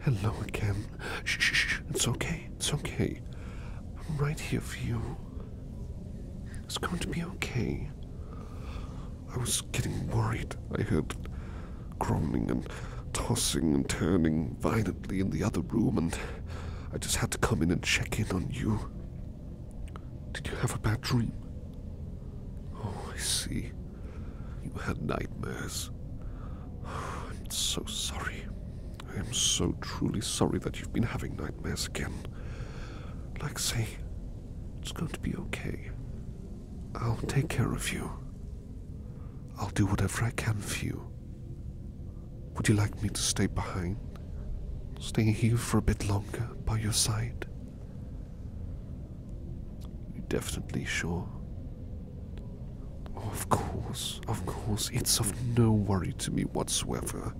Hello again. Shh, shh, shh. It's okay. It's okay. I'm right here for you. It's going to be okay. I was getting worried. I heard groaning and tossing and turning violently in the other room, and I just had to come in and check in on you. Did you have a bad dream? Oh, I see. You had nightmares. Oh, I'm so sorry. I am so truly sorry that you've been having nightmares again. Like, say, it's going to be okay. I'll take care of you. I'll do whatever I can for you. Would you like me to stay behind? staying here for a bit longer by your side? You're definitely sure. of course, of course. It's of no worry to me whatsoever.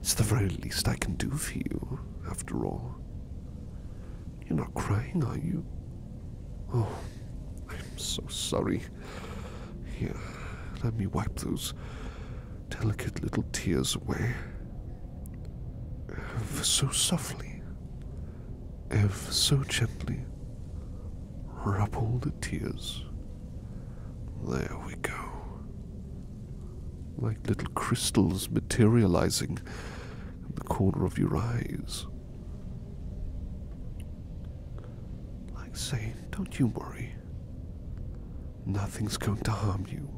It's the very least I can do for you, after all. You're not crying, are you? Oh, I'm so sorry. Here, let me wipe those delicate little tears away. Ever so softly, ever so gently, rub all the tears. There we go. Like little crystals materializing in the corner of your eyes. Like saying, don't you worry. Nothing's going to harm you.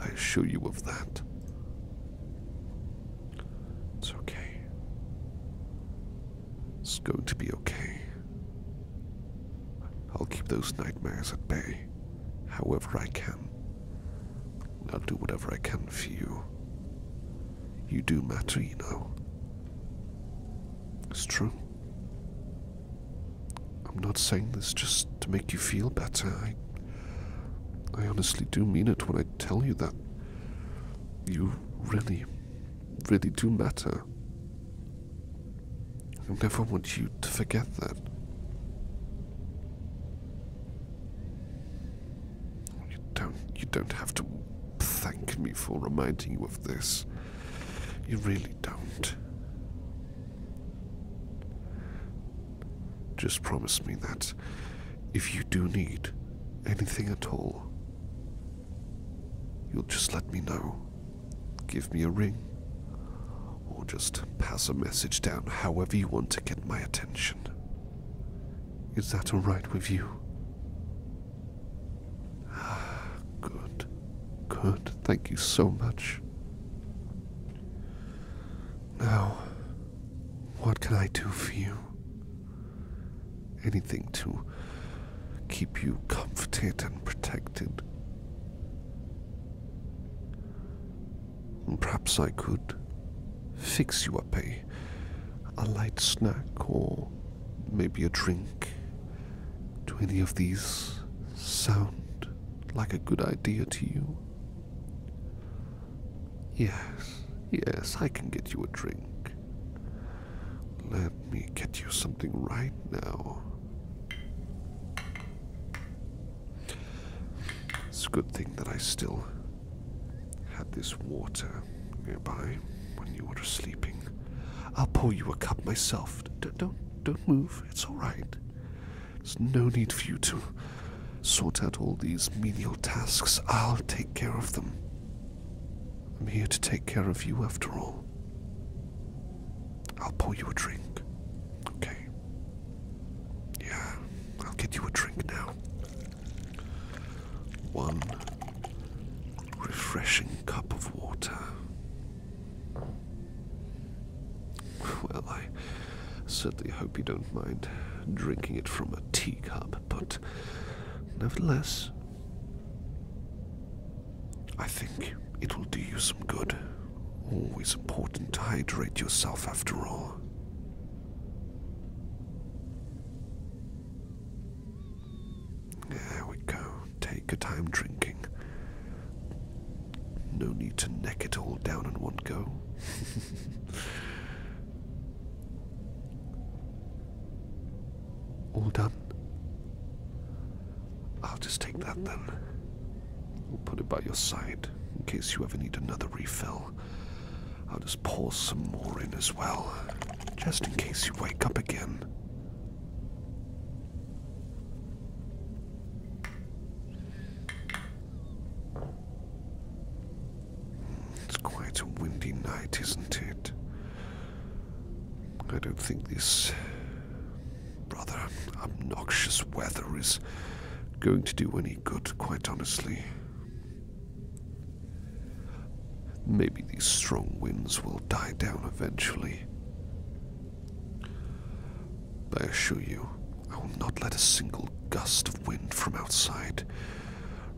I assure you of that. It's okay. It's going to be okay. I'll keep those nightmares at bay, however I can. I'll do whatever I can for you. You do matter, you know. It's true. I'm not saying this just to make you feel better. I, I honestly do mean it when I tell you that you really, really do matter. I never want you to forget that. You don't, you don't have to thank me for reminding you of this. You really don't. Just promise me that if you do need anything at all, you'll just let me know. Give me a ring, or just pass a message down however you want to get my attention. Is that alright with you? Ah, good, good. Thank you so much. Now, what can I do for you? Anything to keep you comforted and protected? Perhaps I could fix you up a, a light snack or maybe a drink, do any of these sound like a good idea to you? Yes, yes, I can get you a drink. Let me get you something right now. It's a good thing that I still had this water nearby when you were sleeping. I'll pour you a cup myself. D don't, don't move. It's all right. There's no need for you to sort out all these menial tasks. I'll take care of them. I'm here to take care of you after all. I'll pour you a drink. Okay. Yeah, I'll get you a drink now. One refreshing cup of water. Well, I certainly hope you don't mind drinking it from a teacup, but nevertheless, I think it will do you some good. Always important to hydrate yourself after all. There we go. Take your time drinking. No need to neck it all down in one go. all done. I'll just take that then. We'll put it by your side in case you ever need another refill. I'll just pour some more in as well, just in case you wake up again. It's quite a windy night, isn't it? I don't think this rather obnoxious weather is going to do any good, quite honestly. Maybe these strong winds will die down eventually. I assure you, I will not let a single gust of wind from outside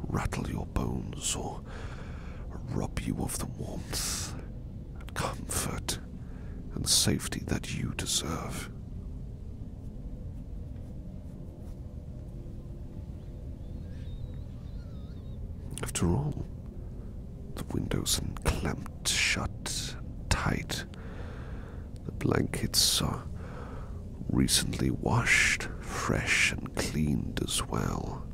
rattle your bones or rob you of the warmth and comfort and safety that you deserve. After all, the windows are clamped shut tight. The blankets are recently washed, fresh, and cleaned as well.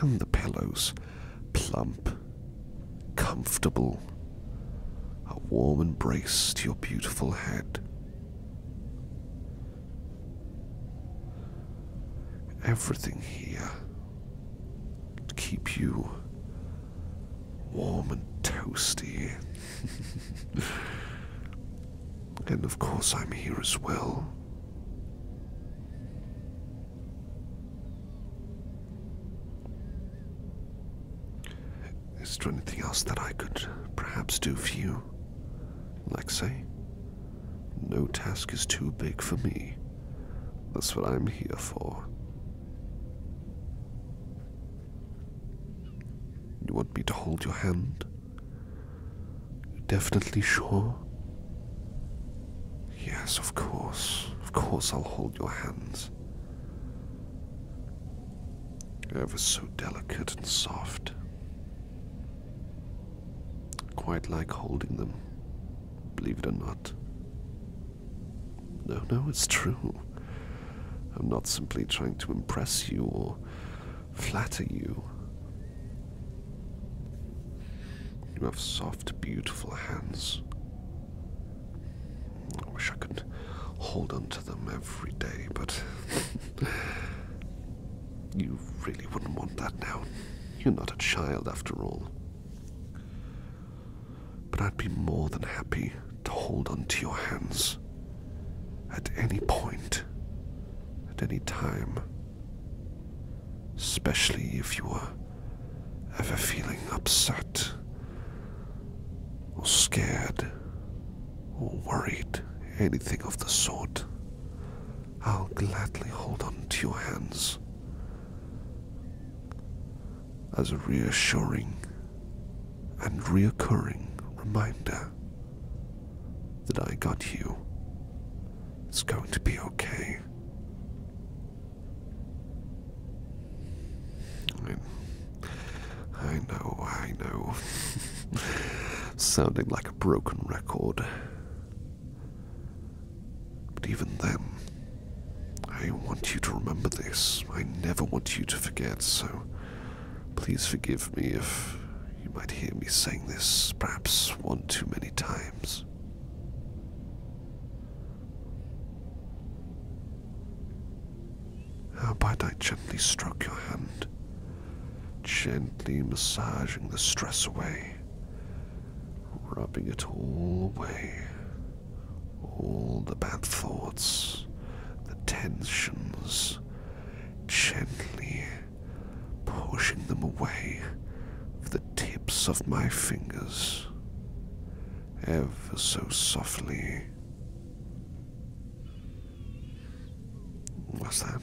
And the pillows plump comfortable, a warm embrace to your beautiful head. Everything here keep you warm and toasty. and of course, I'm here as well. Is there anything else that I could perhaps do for you, Lexi? No task is too big for me. That's what I'm here for. You want me to hold your hand? You're definitely sure? Yes, of course. Of course, I'll hold your hands. It was so delicate and soft. Quite like holding them, believe it or not. No, no, it's true. I'm not simply trying to impress you or flatter you. You have soft, beautiful hands. I wish I could hold on to them every day, but you really wouldn't want that now. You're not a child after all. But I'd be more than happy to hold on to your hands at any point, at any time, especially if you are ever feeling upset or scared or worried, anything of the sort, I'll gladly hold on to your hands as a reassuring and reoccurring reminder that I got you. It's going to be okay. I know, I know. Sounding like a broken record. But even then, I want you to remember this. I never want you to forget, so please forgive me if you might hear me saying this perhaps one too many times. Howbeit, I gently stroke your hand, gently massaging the stress away, rubbing it all away, all the bad thoughts, the tensions, gently pushing them away with the tips of my fingers ever so softly. What's that?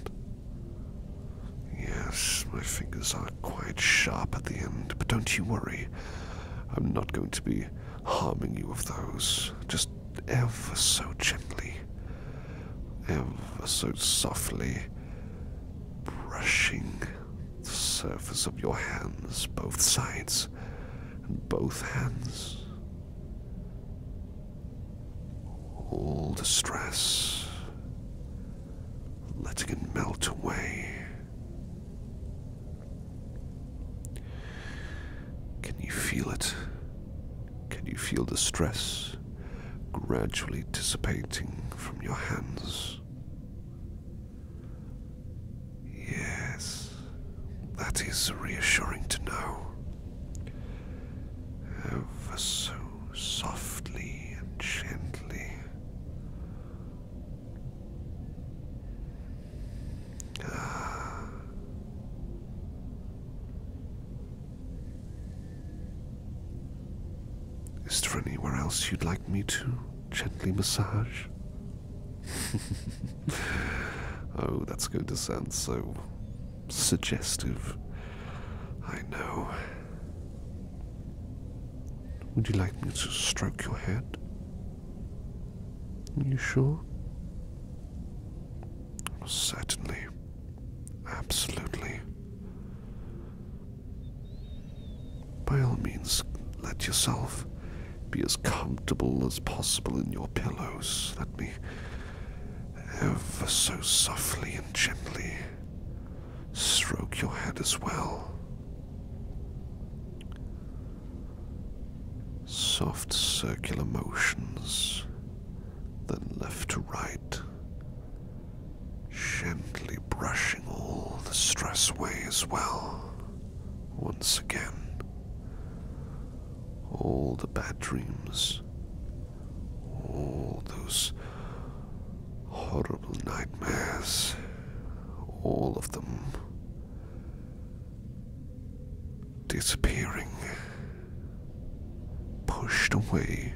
Yes, my fingers are quite sharp at the end, but don't you worry. I'm not going to be harming you with those, just ever so gently, ever so softly, brushing the surface of your hands, both sides, and both hands. All the stress, letting it melt away. Can you feel it? Can you feel the stress gradually dissipating from your hands? Yes, that is reassuring to know. Ever so softly and gently. Ah. Is there anywhere else you'd like me to? gently massage. oh, that's going to sound so suggestive. I know. Would you like me to stroke your head? Are you sure? Certainly. Absolutely. By all means, let yourself be as comfortable as possible in your pillows. Let me ever so softly and gently stroke your head as well. Soft circular motions, then left to right. Gently brushing all the stress away as well. Once again, all the bad dreams, all those horrible nightmares, all of them disappearing, pushed away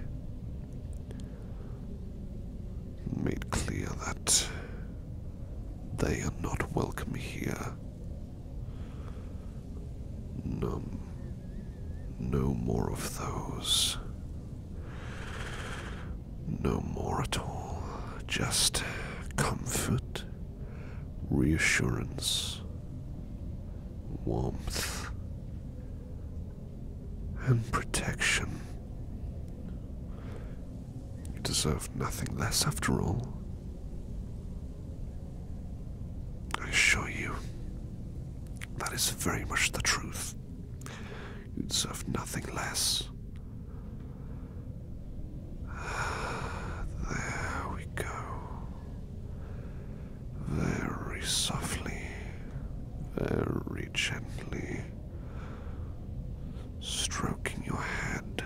made clear that they are not welcome here. No, no more of those. No more at all. Just comfort, reassurance, warmth, and protection. You deserve nothing less after all. I assure you, that is very much the truth. You deserve nothing less. There we go very softly, very gently, stroking your head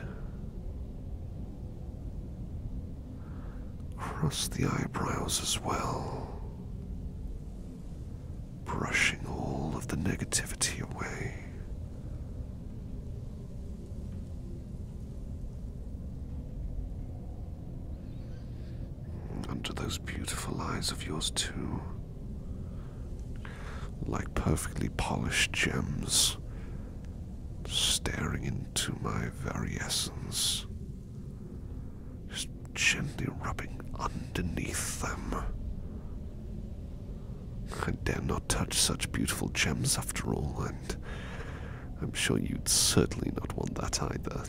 across the eyebrows as well, brushing all of the negativity away. Under those beautiful eyes of yours, too. Like perfectly polished gems, staring into my very essence. Just gently rubbing underneath them. I dare not touch such beautiful gems after all, and I'm sure you'd certainly not want that either.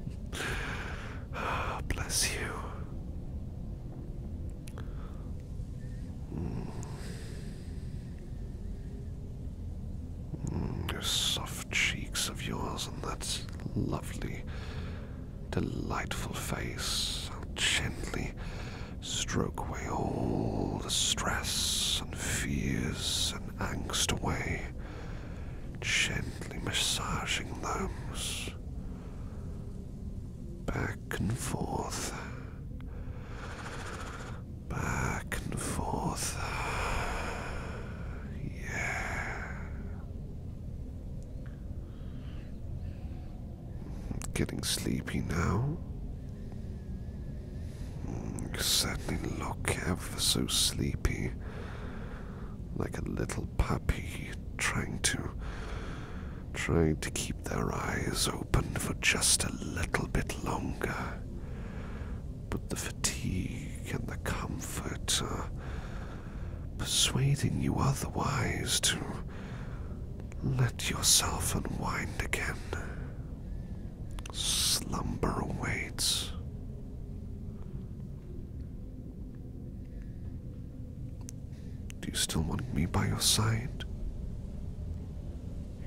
Bless you. Mm. mm soft cheeks of yours and that lovely, delightful face. I'll gently stroke away all the stress and fears and angst away gently massaging those back and forth, back and forth. Yeah. Getting sleepy now. You mm, certainly look ever so sleepy like a little puppy trying to trying to keep their eyes open for just a little bit longer. But the fatigue and the comfort are persuading you otherwise to let yourself unwind again. Slumber awaits. Do you still want me by your side?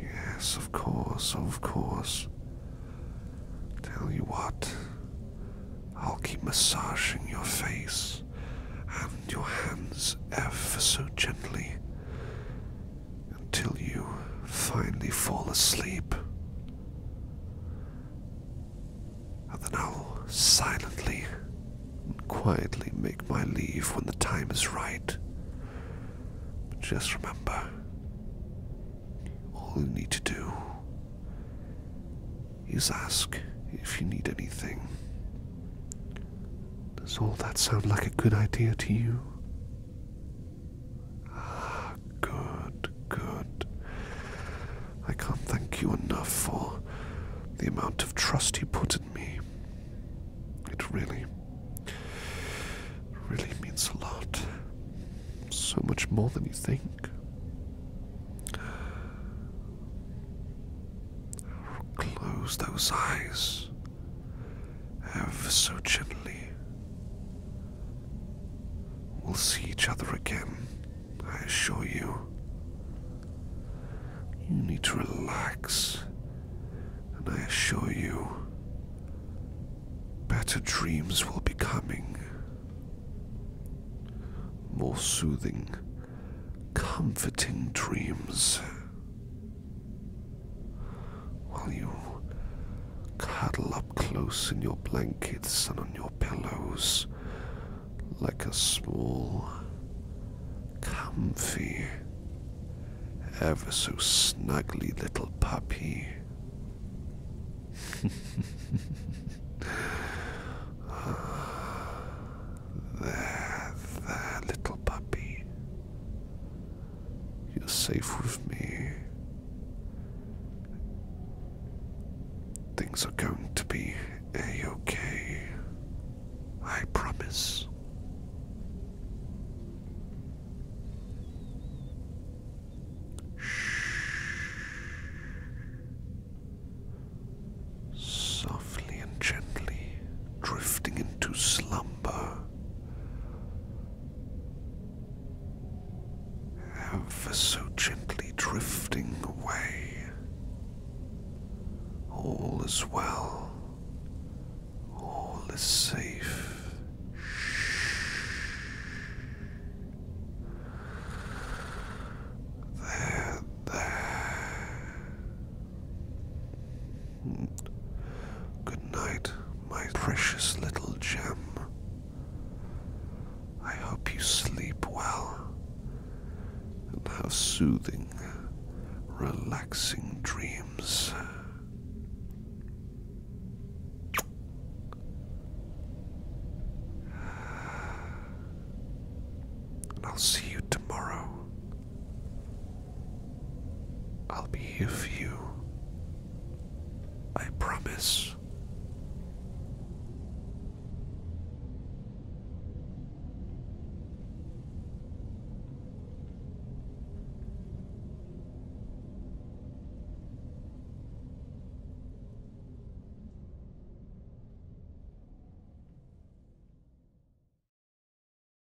Yes, of course, of course. Tell you what, I'll keep massaging your face and your hands ever so gently until you finally fall asleep. And then I'll silently and quietly make my leave when the time is right. just remember, all you need to do is ask if you need anything. Does all that sound like a good idea to you? good, good. I can't thank you enough for the amount of trust you put in me. It really, really means a lot. So much more than you think. Close those eyes. Have so gently. We'll see each other again, I assure you. You need to relax, and I assure you, better dreams will be coming. More soothing, comforting dreams. While you cuddle up close in your blankets and on your pillows, like a small, comfy, ever so snuggly little puppy. Ah, there, there, little puppy. You're safe with me. Things are going to be okay I promise. Softly and gently drifting into slumber, for so gently drifting away. All is well. All is safe. There, there. Good night, my precious little gem. I hope you sleep well and have soothing, relaxing dreams. And I'll see you tomorrow. I'll be here for you. I promise.